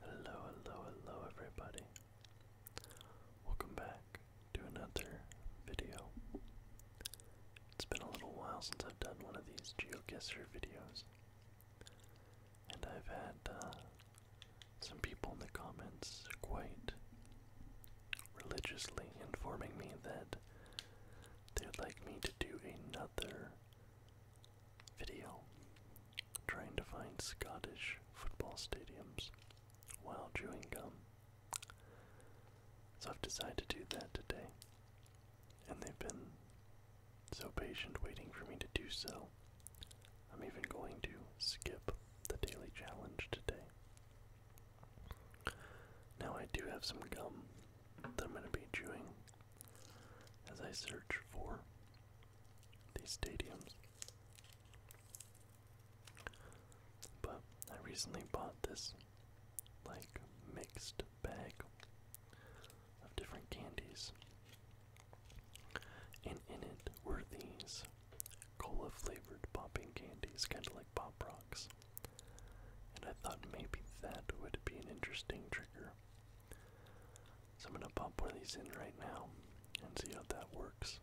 Hello, hello, hello, everybody. Welcome back to another video. It's been a little while since I've done one of these GeoGuessr videos, and I've had uh, some people in the comments quite religiously informing me that they'd like me to do another video trying to find Scottish football stadiums while chewing gum. So I've decided to do that today. And they've been so patient waiting for me to do so. I'm even going to skip the daily challenge today. Now I do have some gum that I'm going to be chewing as I search for these stadiums. But I recently bought this like mixed bag of different candies. And in it were these cola flavored popping candies, kind of like Pop Rocks. And I thought maybe that would be an interesting trigger so I'm going to pop one of these in right now and see how that works.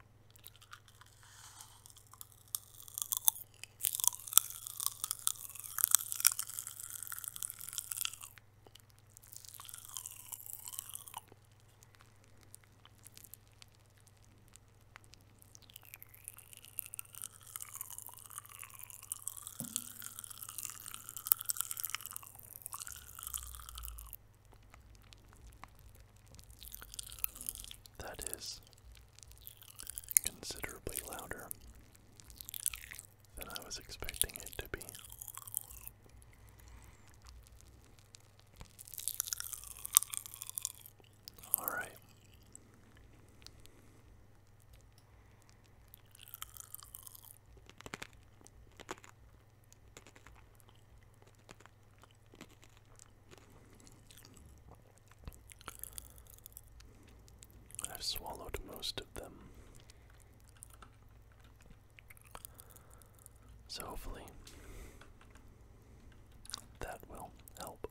That is considerably louder than I was expecting it to be. All right. I've swallowed most of them. So hopefully that will help.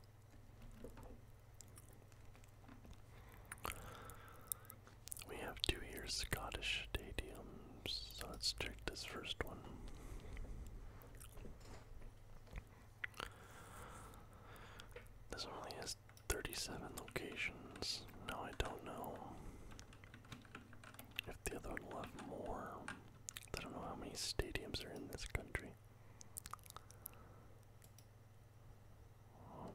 We have two here Scottish stadiums, so let's check this first one. This one only has 37 locations. No, I don't know if the other one will have more. I don't know how many stadiums are in this country. Um,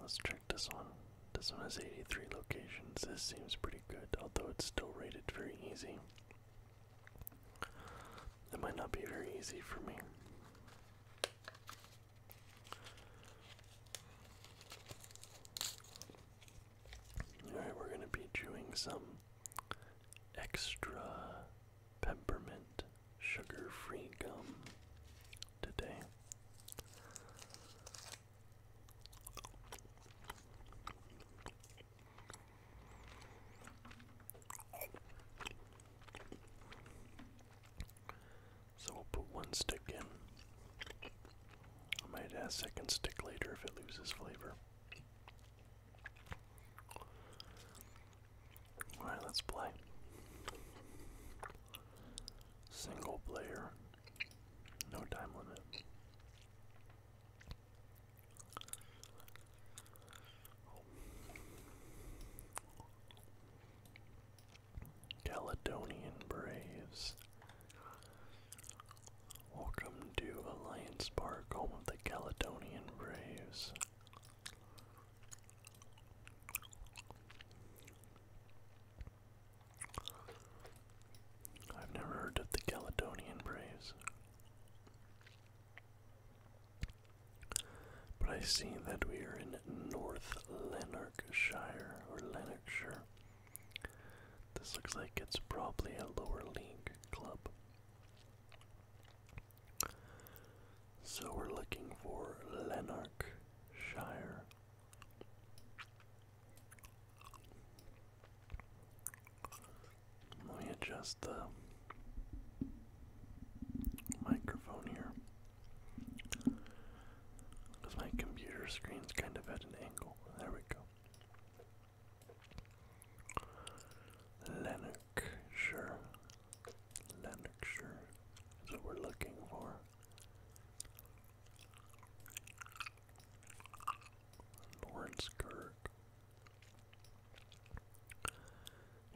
Let's check this one. This one has 83 locations. This seems pretty good, although it's still rated very easy. It might not be very easy for me. Alright, we're going to be chewing some extra peppermint sugar-free gum today. So we'll put one stick in. might add a second stick later if it loses flavor. Alright, let's play. Single player. No time limit. Caledonian Braves. Welcome to Alliance Park, home of the Caledonian Braves. I've never heard of the Caledonian Braves. But I see that we are in North Lanarkshire or Lanarkshire. This looks like it's probably a lower league club. So we're looking for Lanarkshire. Let me adjust the microphone here. Because my computer screen's kind of at an angle. There we go. Lennox, sure. Lennox, sure. Is we're looking for. Lawrence Kirk.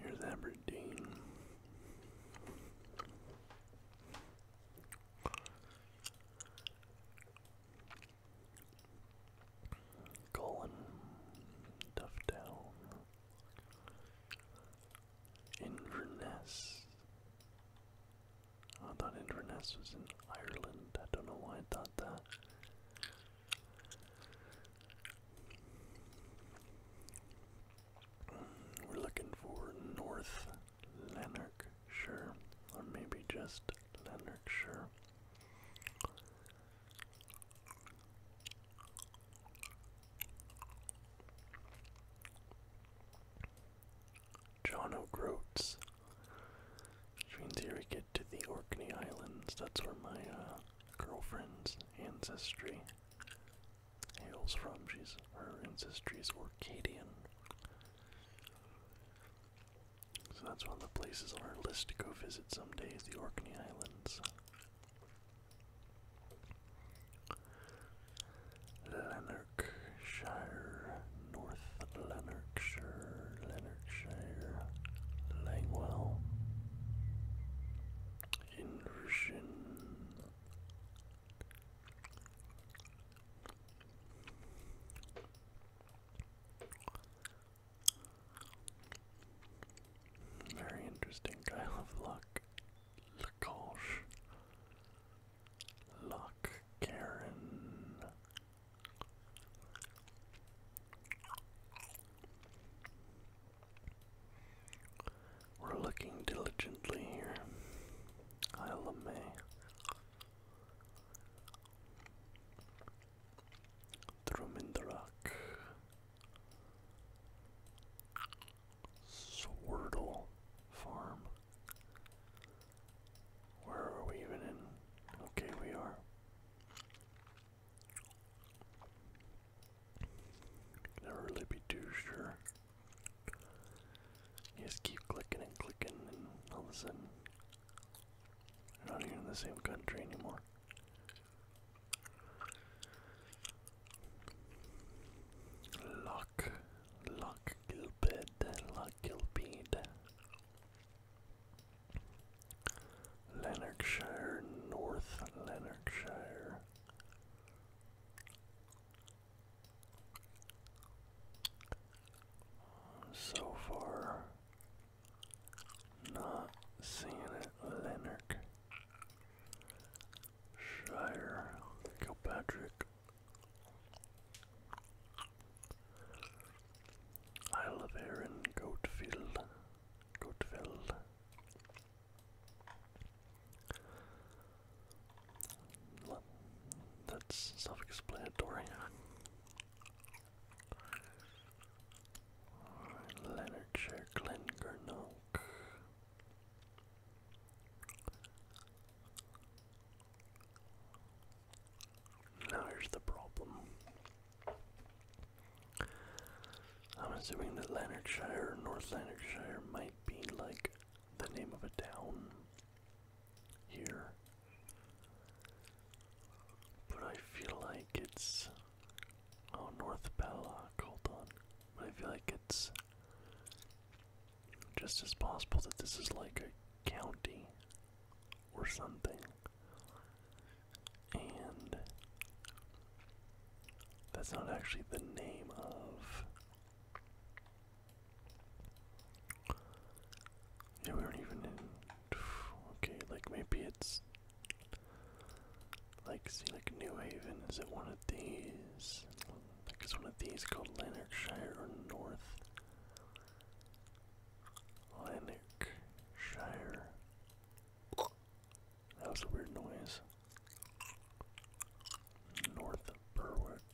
Here's Aberdeen. Colin Duffdown. Inverness. I thought Inverness was in Ireland. I don't know why I thought that. We're looking for North Lanarkshire, or maybe just Lanarkshire. John O'Groats. Which means here we get to the Orkney Islands. That's where my uh, girlfriend's ancestry hails from. She's her ancestry is Orcadian. So that's one of the places on our list to go visit someday is the Orkney Islands. Lanarkshire, North Lanarkshire, Lanarkshire, Langwell, Inversion. Very interesting guy of luck. Lacoche. Luck Karen. We're looking diligently here. Isla May. Throw in the rock. Swirtle Farm. Where are we even in? Okay, we are. Never really be too sure. just keep clicking and clicking, and all of a sudden, you're not even in the same country anymore. La Luck, Luck Gilbert, Luck Gilbert. Lanarkshire, North Lanarkshire. So far, not seeing it. Lanarkshire, Kilpatrick. Isle of Erin, Goatfield, Goatfield. that's self-explanatory. Alright, Leonardshire, Glen now here's the problem. I'm assuming that Lanarkshire, North Lanarkshire, might be like the name of a town here. But I feel like it's. Oh, North Ballock, hold on. But I feel like it's just as possible that this is like a county or something. And that's not actually the name of. Yeah, we were even in. Okay, like maybe it's. Like, see, like New Haven, is it one of these? Like is one of these called Lanarkshire North? Lanarkshire. That was a weird noise. North Berwick.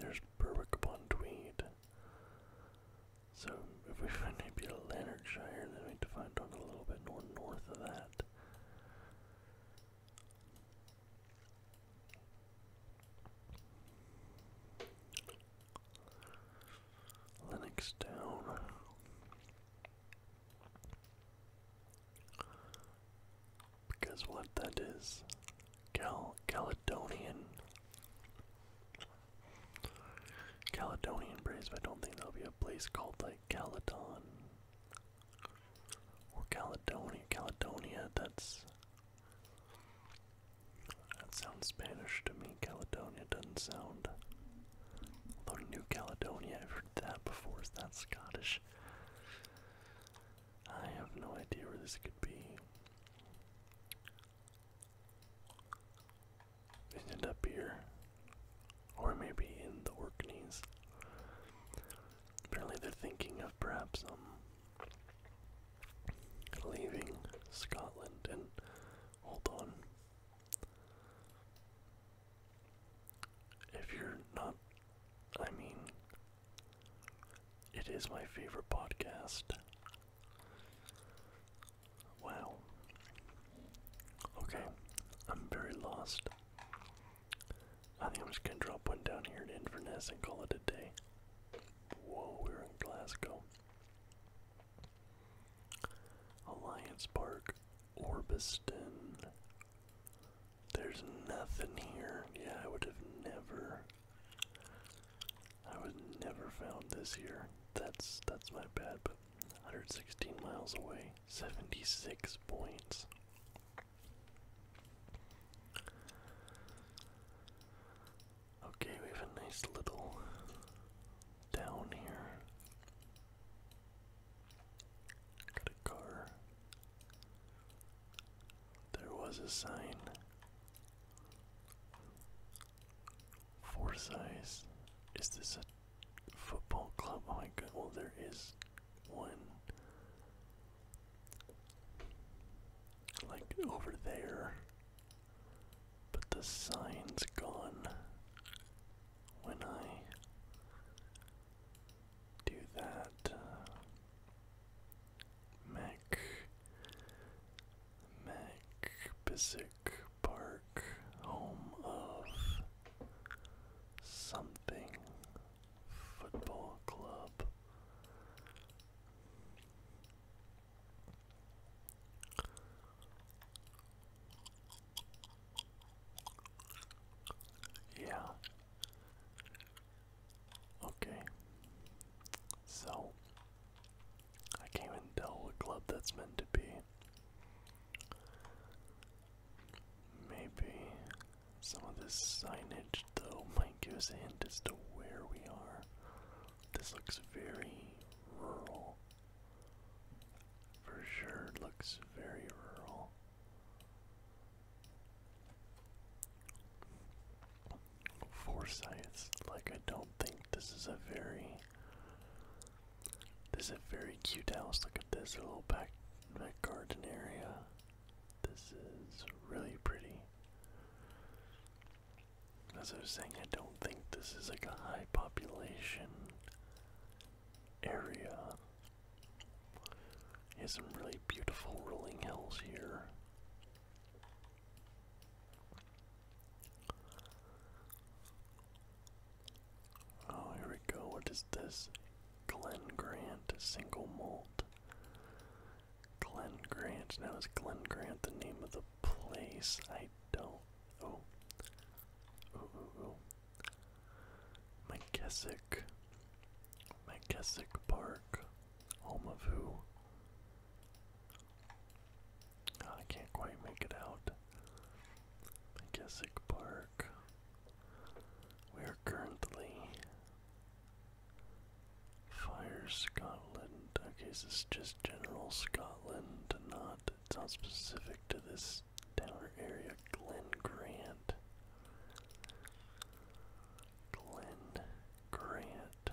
There's Berwick upon Tweed. So if we find maybe a Lanarkshire, then we need to find one a little bit north of that. Linux down. Because what that is, Cal Caledonian, Caledonian Braves. But I don't think there'll be a place called like Caledon or Caledonia. Caledonia, that's. That sounds Spanish to me. Caledonia doesn't sound. Although New Caledonia, I've heard that before. Is that Scottish? I have no idea where this could be. It ended up here. Or maybe in the Orkneys. Apparently they're thinking of perhaps um, leaving Scotland and hold on. If you're not I mean it is my favorite podcast. Wow. Okay, I'm very lost. I think I'm just gonna drop one down here in Inverness and call it a day. Whoa, we're in Glasgow. Alliance Park, Orbiston. There's nothing here. Yeah, I would have never I was never found this year. That's that's my bad, but 116 miles away, 76 points. Okay, we have a nice little down here. Got a car. There was a sign. Forsyth. Is this a football club. Oh my god, well, there is one. Like over there. But the sign's gone. When I do that, uh, Mac, Mac, Pisic Park, home of something football club. Yeah. Okay. So I can't even tell what club that's meant to be. Maybe some of this signage, though, might give us a hint as to where we are. This looks very rural. For sure, looks very rural. Forsyth, like, I don't think this is a very this is a very cute house. Look at this little back, garden area. This is really pretty. As I was saying, I don't think this is like a high population area. He has some really beautiful rolling hills here. Oh, here we go. What is this? Glen Grant, single malt. Glen Grant. Now is Glen Grant the name of the place? I don't. Oh. Ooh, ooh, ooh. Park. Home of who? Ah, I can't quite make it out. McKessick Park. We are currently Fire Scotland. Okay, so it's just general Scotland, not not specific to this tower area. Glen Grant. Glen Grant.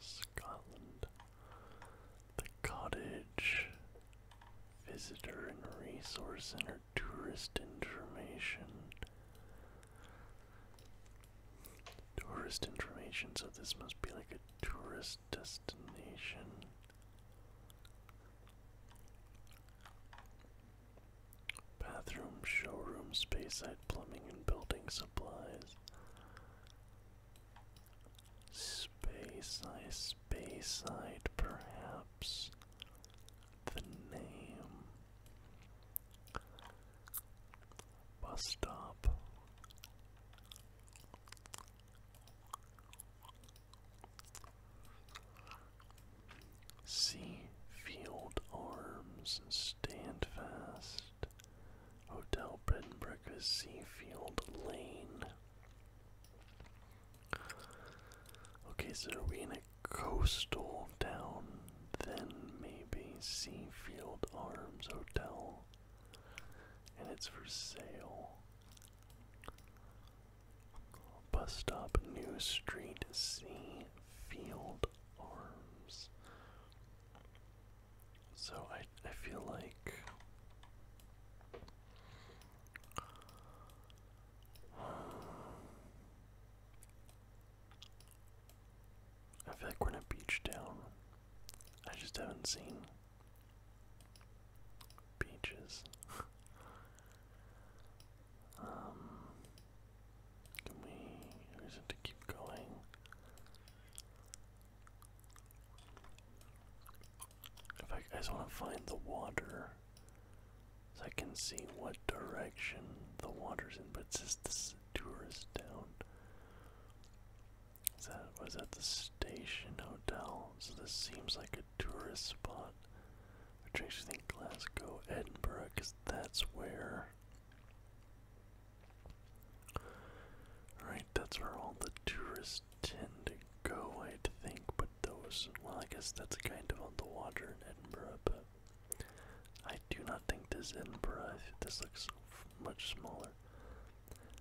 Scotland. The cottage, visitor and resource center, tourist information. Tourist information, so this must be like a tourist destination. Bathroom, showroom, space side, plumbing, and building supplies. Space Ice Bayside, perhaps the name. Bus stop. See Field Arms and Stand Fast. Hotel Bread and Breakfast Seafield Lane. Okay, so are we in a coastal town? Then maybe Seafield Arms Hotel. And it's for sale. Bus stop, New Street, Seafield Arms. So I I feel like I feel like we're in a beach town. I just haven't seen beaches. um, can we? Or is to keep going? In I just want to find the water so I can see what direction the water's in. But it says this tourist town. Is that was that the station hotel? So this seems like a tourist spot. Which makes you think Glasgow, Edinburgh, because that's where. Alright, that's where all the tourists tend to go, I'd think, but those, well, I guess that's kind of on the water Edinburgh, but I do not think this Edinburgh, this looks much smaller.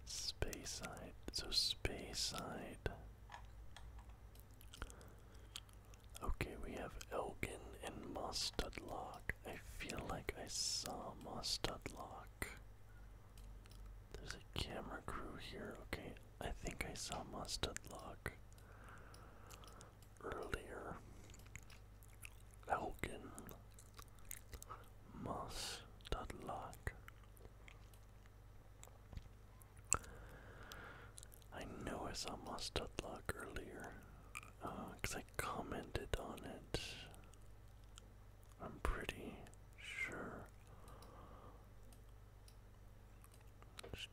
Space side. so space side. Okay, we have Elgin and Mostudlock. I feel like I saw Mostudlock. There's a camera crew here. Okay, I think I saw mustard lock earlier. Elgin mustard I know I saw mustard earlier because uh, I commented on it. I'm pretty sure.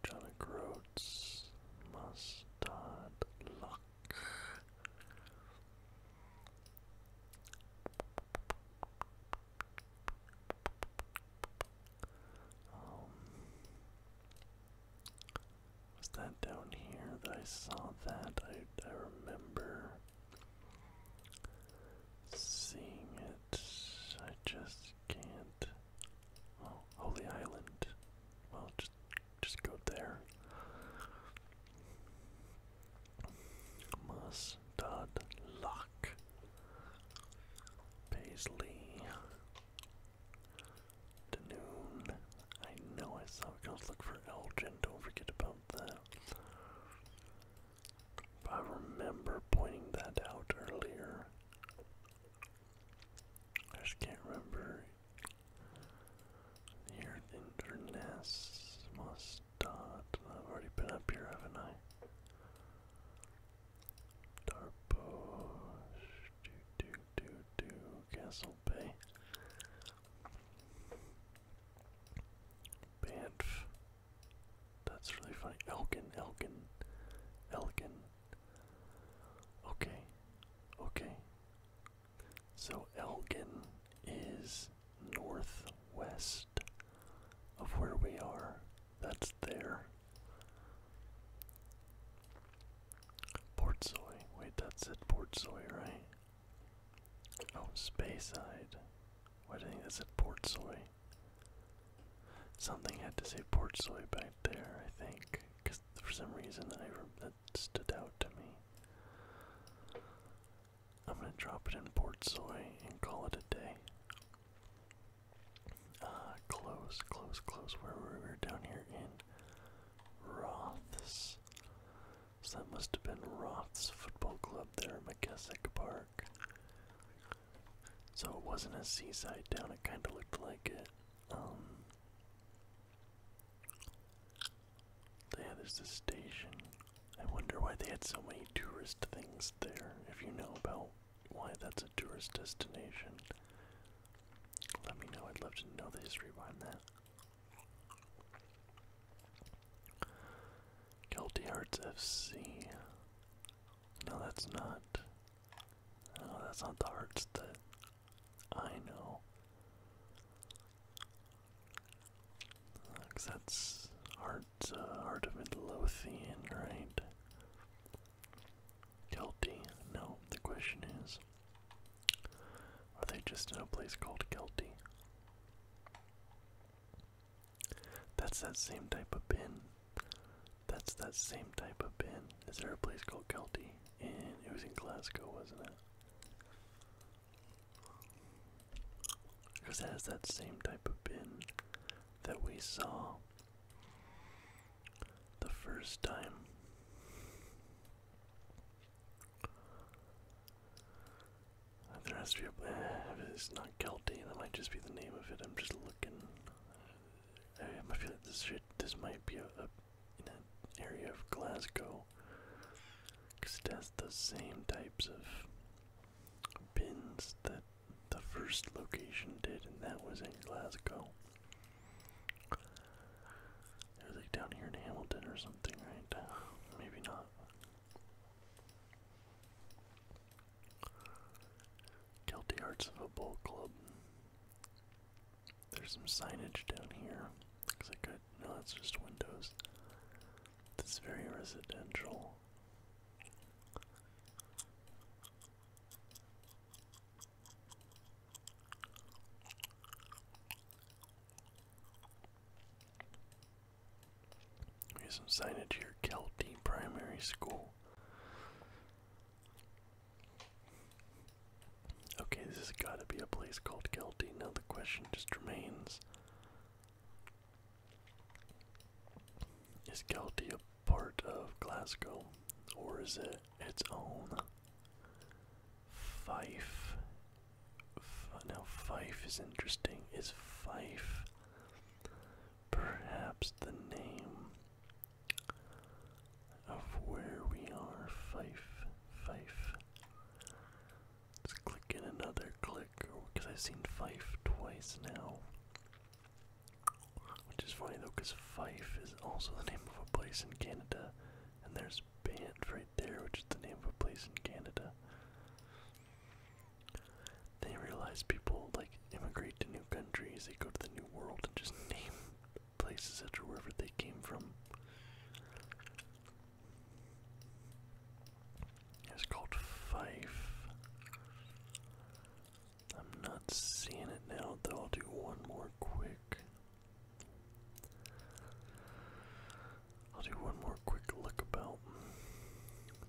Stomach roads, mustard, luck. Um, was that down here that I saw that? I, I remember seeing it. I just can't. Well, Holy Island. Well, just just go there. Mustard Lock. Paisley. Danoon. I know I saw it. let look for Elgin. Don't forget about that. I remember pointing that out earlier. I just can't remember. Here, Inverness must dot. I've already been up here, haven't I? Darbosh, do do do do, Castle Bay. Banff. That's really funny. Elkin, Elkin, Elkin. Okay, okay. So Elgin is northwest of where we are. That's there. Portsoy. Wait, that's it. Portsoy, right? Oh, Spayside. Why do you think that's at Portsoy? Something had to say Portsoy back there, I think, because for some reason that stood out to me. I'm gonna drop it in Portsoy and call it a day. Ah, close, close, close. Where we? We're down here in Roths. So that must have been Roths Football Club there, McKessick Park. So it wasn't a seaside town, it kind of looked like it. Um, yeah, there's the station. I wonder why they had so many tourist things there, if you know about why that's a tourist destination. Let me know, I'd love to know the history behind that. Guilty Hearts FC. No, that's not. No, that's not the hearts that I know. Cause that's uh, art uh, heart of Midlothian, right? Guilty? No. The question is, are they just in a place called Guilty? That's that same type of bin. That's that same type of bin. Is there a place called Kelty? And it was in Glasgow, wasn't it? Because that has that same type of bin that we saw the first time. There has to be a. Eh, it's not Kelty, that might just be the name of it. I'm just looking. I feel like this should, this might be a, a in an area of Glasgow, because it has the same types of pins that the first location did, and that was in Glasgow. It was like down here in Hamilton or something, right? Uh, maybe not. Guilty Arts Ball Club. There's some signage down here. Looks like no, that's just windows. This very residential. Here's some signage here, Kelty Primary School. Okay, this has got to be a place called Guilty. Now the question just remains Is Guilty a part of Glasgow or is it its own? Fife. now, Fife is interesting. Is Fife perhaps the name of where we are. Fife, fife. Let's click in another click because I've seen fife twice now. Which is funny though, because Fife is also the name of a place in Canada, and there's band right there, which is the name of a place in Canada. They realize people like immigrate to new countries, they go to the new world and just name places after wherever they came from. It's called Fife. I'm not seeing it now, though I'll do one more quick. I'll do one more quick look about.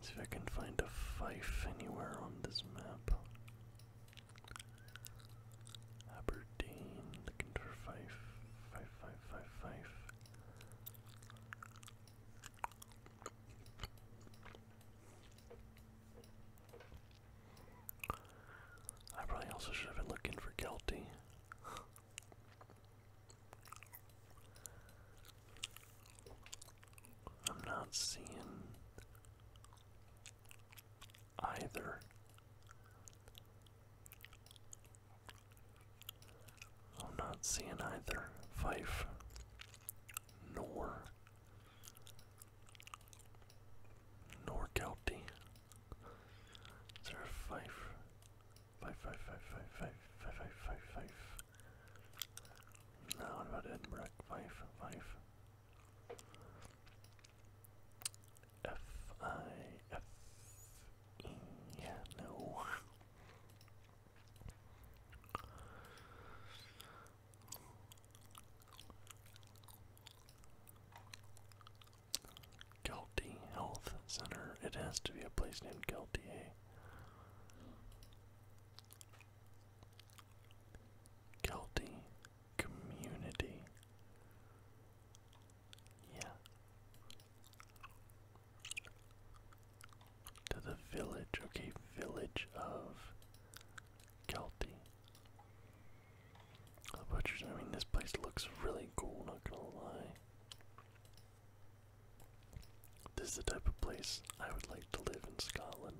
See if I can find a Fife anywhere on this map. Aberdeen, looking for five, five, five, five, five. I probably also should have been looking for Kelty. I'm not seeing either. I'm not seeing either Fife nor nor Kelty. Is there a Fife? Fife, Fife, Fife, Fife, Fife, Fife, Fife, Fife, Fife. No, what about Edinburgh? Fife, Fife. F I F E. no. Galti Health Center. It has to be a place named Galtier. Guilty community. Yeah. To the village, okay, village of Kelty. The butchers, I mean, this place looks really cool, not gonna lie. This is the type of place I would like to live in Scotland.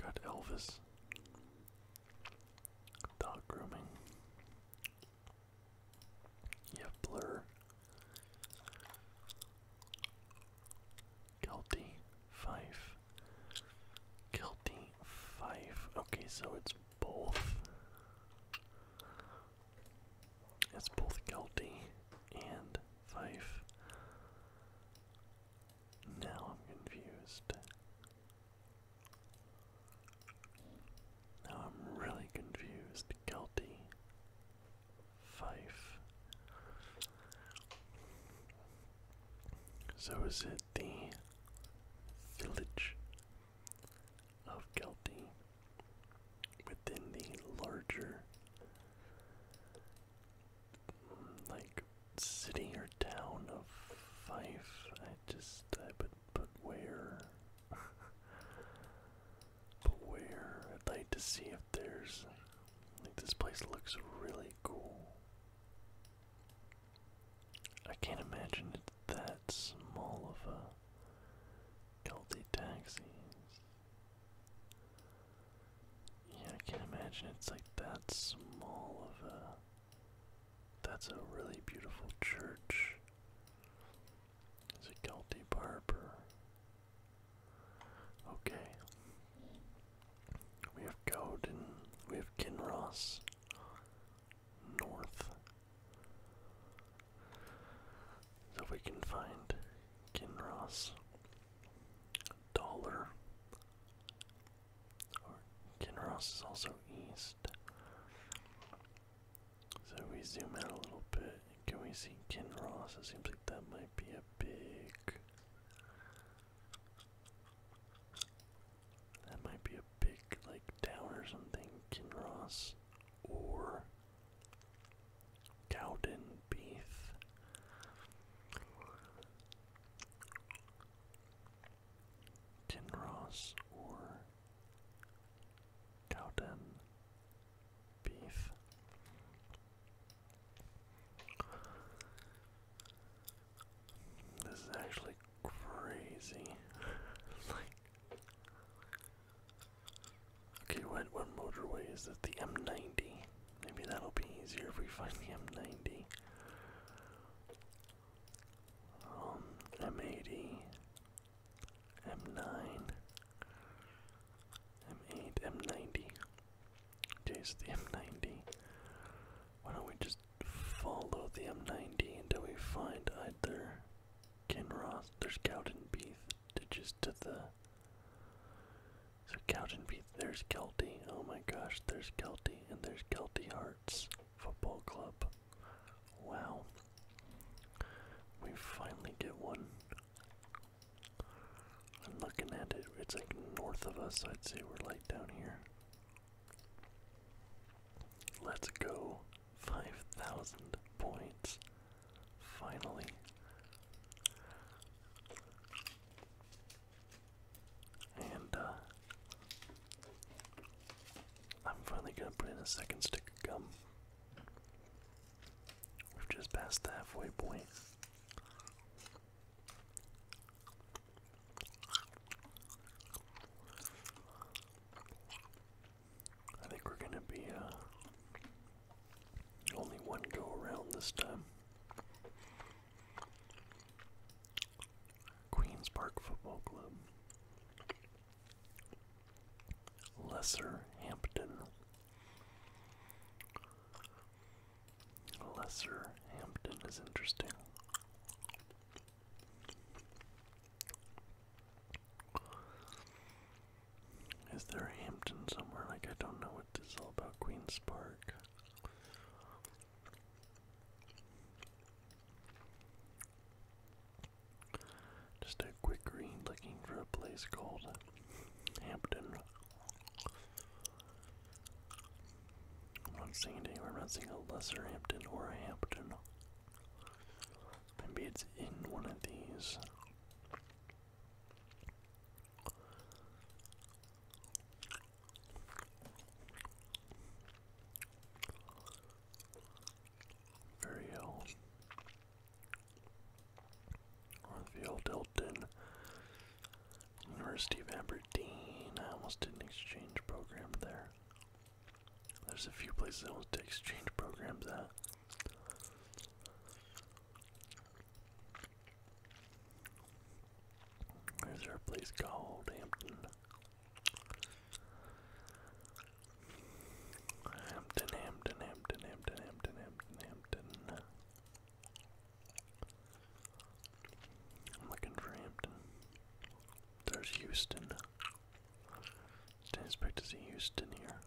Got Elvis. Dog grooming. You Blur. Guilty five. Guilty Fife. Okay, so it's both. It's both guilty and Fife. Now I'm confused. Now I'm really confused. Gelty. Fife. So is it the village of Kelty within the larger like city or town of Fife. I just I but but where but where I'd like to see if there's like this place looks really cool. I can't imagine it's that small of a Guilty taxis. Yeah, I can't imagine it's like that small of a. That's a really beautiful church. It's a guilty barber. Okay. We have Code and we have Kinross north. So we can find Kinross, Dollar, or Kinross is also east. So we zoom out a little bit, can we see Kinross? It seems like that might be a big. That might be a big like town or something, Kinross, or Cowden Beef. Kinross or Cowden Beef. This is actually crazy. Okay, what, what motorway is this? The M90. Maybe that'll be easier if we find the M90. Um, M80, M9, M8, M90. Okay, so the M90. Why don't we just follow the M90 until we find either Kinross. There's Cowdenbeath. Ditches to the. So Cowdenbeath. There's Kelty. Oh my gosh. There's Kelty. And there's Kelty Hearts Football Club. Wow. We finally get one. I'm looking at it. It's like north of us. I'd say we're like down here. Let's go. 5,000 points. Finally. And, uh, I'm finally gonna put in a second stick of gum. We've just passed the halfway point. I think we're gonna be uh, only one go around this time. Queens Park Football Club, Lesser Hampton, Lesser Hampton is interesting. Is there a Hampton somewhere? Like, I don't know what this is all about. Queen's Park. Just a quick read looking for a place called Hampton. I'm not seeing it I'm not seeing a lesser Hampton or a Hampton. Maybe it's in one of these. Very ill. Orville University of Aberdeen. I almost did an exchange program there. There's a few places I want to exchange programs at. There's our place called Hampton. Hampton, Hampton, Hampton, Hampton, Hampton, Hampton, Hampton. I'm looking for Hampton. There's Houston. Didn't expect to see Houston here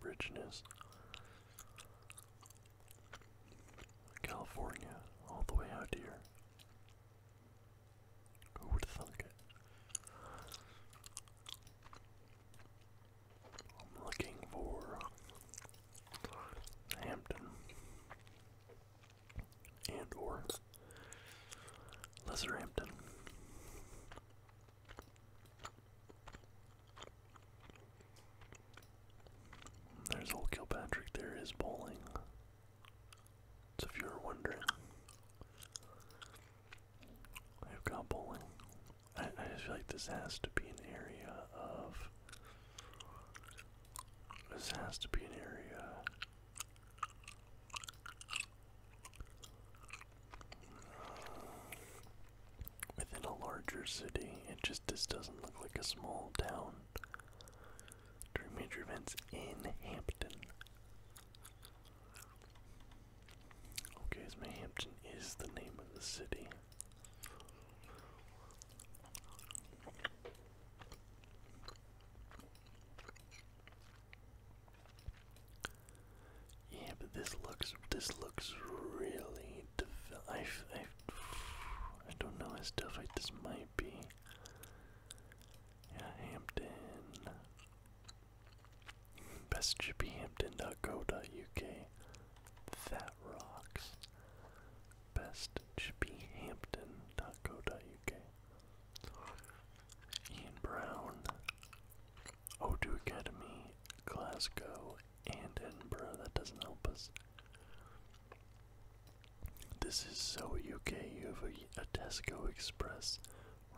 richness. California, all the way out here. Who would thunk it? I'm looking for Hampton and or Hampton. There's old Kilpatrick, there is bowling. So if you're wondering, I've got bowling. I just feel like this has to be an area of. This has to be an area Within a larger city, it just this doesn't look like a small town. During major events in Hampton. Okay, so Hampton is the name of the city. Yeah, but this looks this looks really def. I, I, don't know how stuff like this might be. Yeah, Hampton. Best should be hampton.co.uk. That rocks. Best should be hampton.co.uk. Ian Brown, O2 Academy, Glasgow, and Edinburgh. That doesn't help us. This is so UK. You have a, a Tesco Express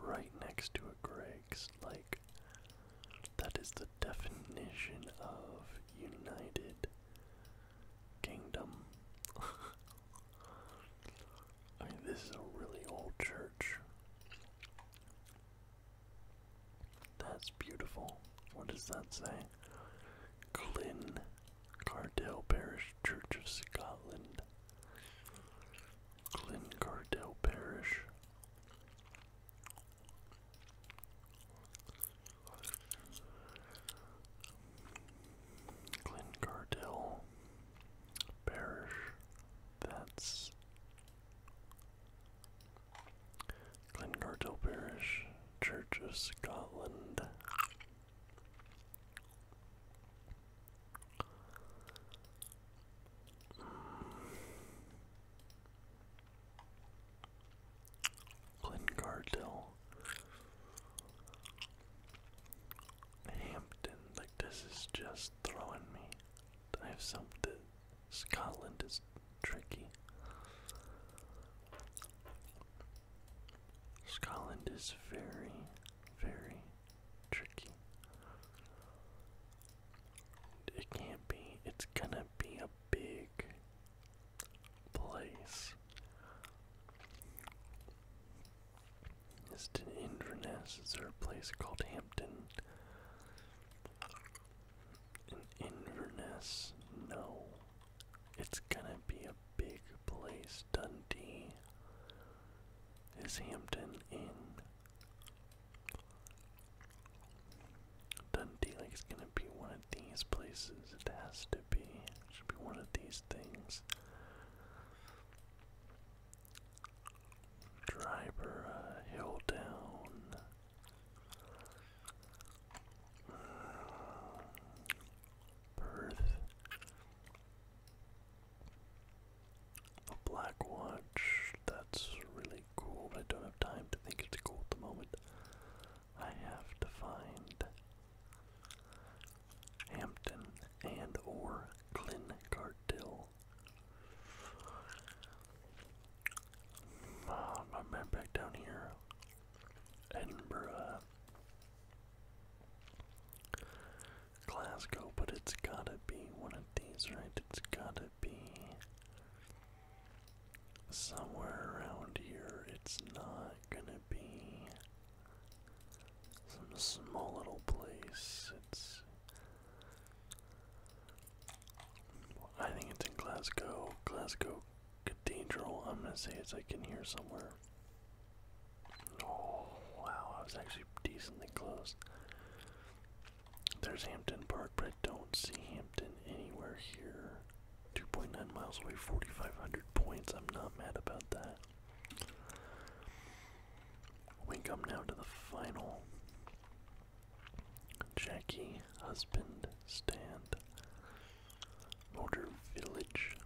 right next to a Greg's. Like, that is the definition of United Kingdom. this is a really old church. That's beautiful. What does that say? Glyn Cardell Parish Church of Scotland. Glyn Cardell Parish. Glyn Cardell Parish. That's Glengartel Parish, Church of Scotland. Mm. Hampton, like this is just throwing me. I have something. Scotland is tricky. Scotland is very, very tricky. It can't be, it's gonna be a big place. Is it Inverness? Is there a place called Hampton? In Inverness? No. It's gonna be a big place, Dundee. Is Hampton in? Dundee, like, it's gonna be one of these places. It has to be. should be one of these things. Driver uh, Hill Down. Perth. A black watch. That's really cool, but I don't have time to think it's cool at the moment. I have to find Hampton and or Glen Oh, um, my back down here. Edinburgh. Glasgow, but it's gotta be one of these, right? It's gotta be somewhere around here. It's not gonna be some small little place. It's I think it's in Glasgow, Glasgow Cathedral. I'm gonna say it's like in here somewhere. Oh wow, I was actually decently close. There's Hampton Park, but I don't see Hampton anywhere here. 2.9 miles away, 4,500 points. I'm not mad about that. We come now to the final Jackie Husband Stand Motor Village.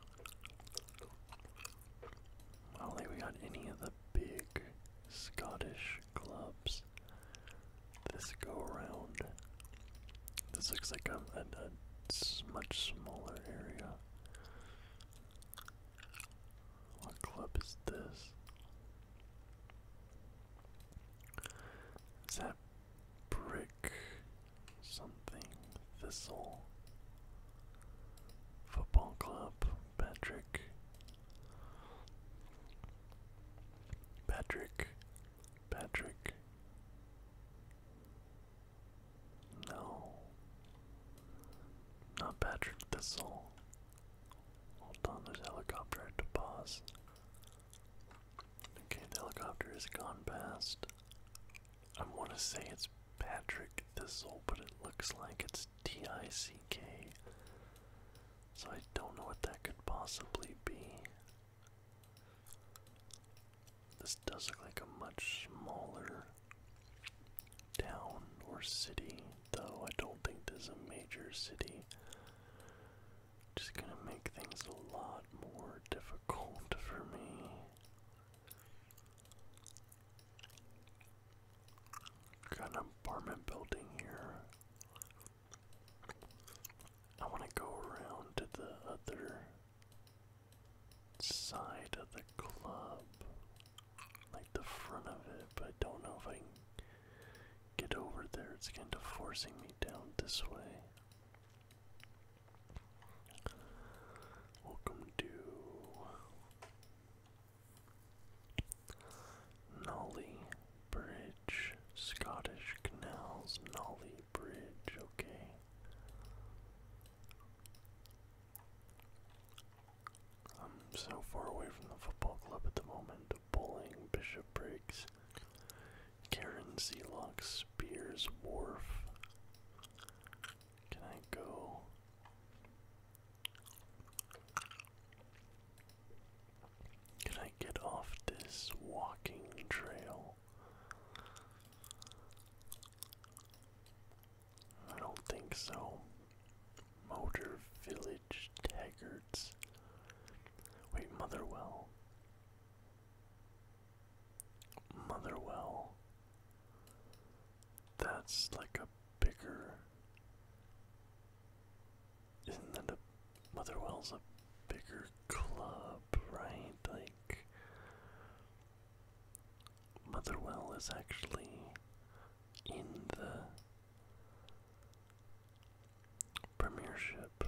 I don't think we got any of the big Scottish clubs this go around. This looks like a, a, a much smaller area. What club is this? Is that brick something? Thistle Football Club? Patrick? Patrick? Patrick? No. Not Patrick Thistle. Hold on, there's a helicopter at the pause. Okay, the helicopter has gone past. I want to say it's Patrick Thistle, but it looks like it's T I C K. So I don't know what that could possibly be. This does look like a much smaller town or city, though I don't think there's a major city. Just gonna make things a lot more difficult for me. Got an apartment building here. I want to go around to the other side of the club like the front of it, but I don't know if I can get over there. It's kind of forcing me down this way. Welcome to Nolly Bridge, Scottish Canals, Nolly Bridge, okay. I'm so far away from the football club at the moment. Bowling, Bishopriggs, Karen, Zealox, Spears, Wharf. Can I go? Can I get off this walking trail? I don't think so. Motor Village Taggarts. Wait, Motherwell. Motherwell. That's like a bigger. Isn't that a. Motherwell's a bigger club, right? Like. Motherwell is actually in the premiership,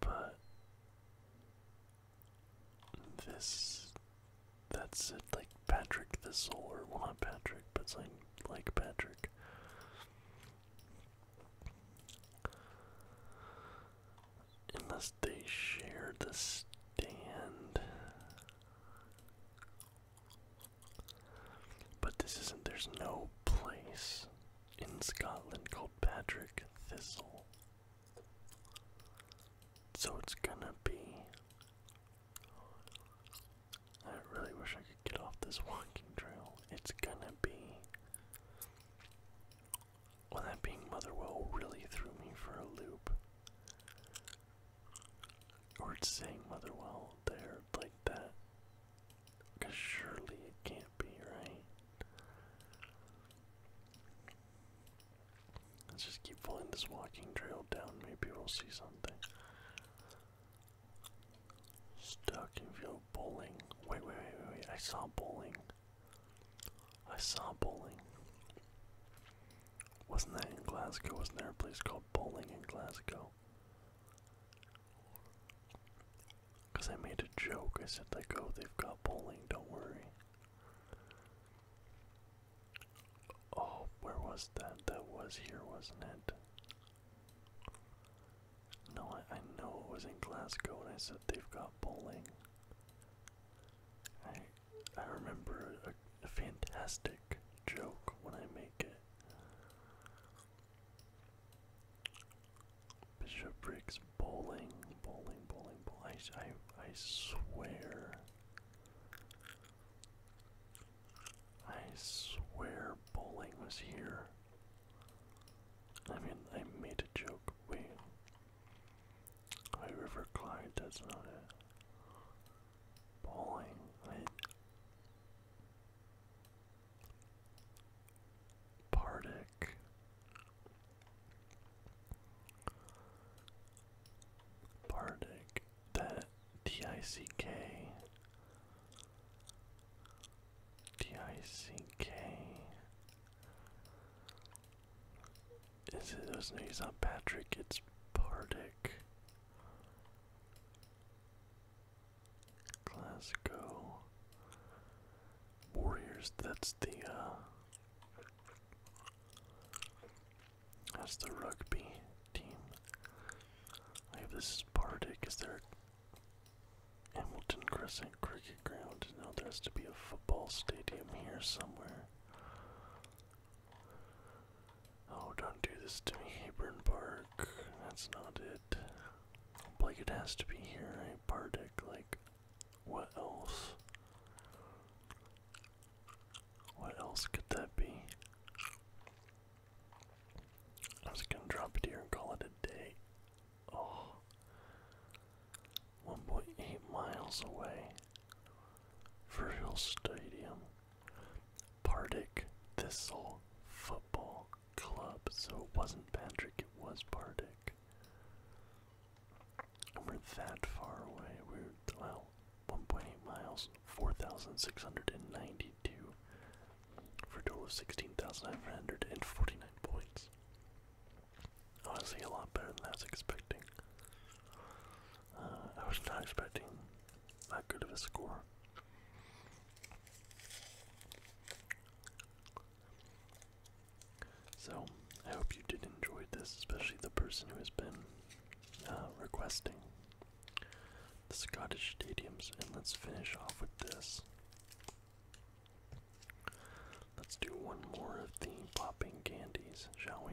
but this that's it like Patrick the Solar, well not Patrick, but something like Patrick. Unless they share the stand but this isn't, there's no place in Scotland called Patrick Thistle. So it's gonna be. I really wish I could get off this walking trail. It's gonna be. Well, that being Motherwell really threw me for a loop. Or it's saying Motherwell there like that. Because surely it can't be, right? Let's just keep following this walking trail down. Maybe we'll see something. Stockingfield bowling. wait, wait, wait, wait. I saw bowling. I saw bowling. Wasn't that in Glasgow? Wasn't there a place called Bowling in Glasgow? Because I made a joke. I said, like, go. Oh, they've got bowling, don't worry. Oh, where was that? That was here, wasn't it? No, I, know it was in Glasgow and I said they've got bowling. I remember a, a fantastic joke when I make it. Bishop Briggs bowling, bowling, bowling, bowling. I, I, I swear. I swear bowling was here. I mean, I made a joke. Wait. High River Clyde, that's not it. Bowling, right? Pardic. That D I C K, D I C K. It's it? No, not Patrick. It's Pardic. Glasgow Warriors. That's the uh, that's the rugby team. I have this is Bardic. Is there a Hamilton Crescent Cricket Ground? No, there has to be a football stadium here somewhere. Oh, don't do this to me, Hebron Park. That's not it. Like, it has to be here, right? Eh, Bardic, like, what else? What else could that be? I was gonna drop it here and call it a day. Oh. 1.8 miles away. Virgil Stadium. Partick Thistle Football Club. So it wasn't Patrick, it was Partick. we're that far away. We're, well, 1.8 miles, 4,692 for a total of 16,949 points. Honestly, a lot better than I was expecting. Uh, I was not expecting that good of a score. So, I hope you did enjoy this, especially the person who has been uh, requesting the Scottish stadiums. And let's finish off with this. Let's do one more of the popping candies, shall we?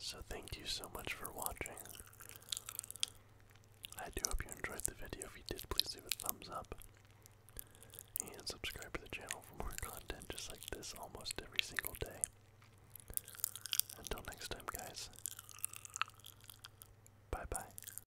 So, thank you so much for watching. I do hope you enjoyed the video. If you did, please leave a thumbs up and subscribe to the channel for more content just like this almost every single day. Until next time, guys. Bye bye.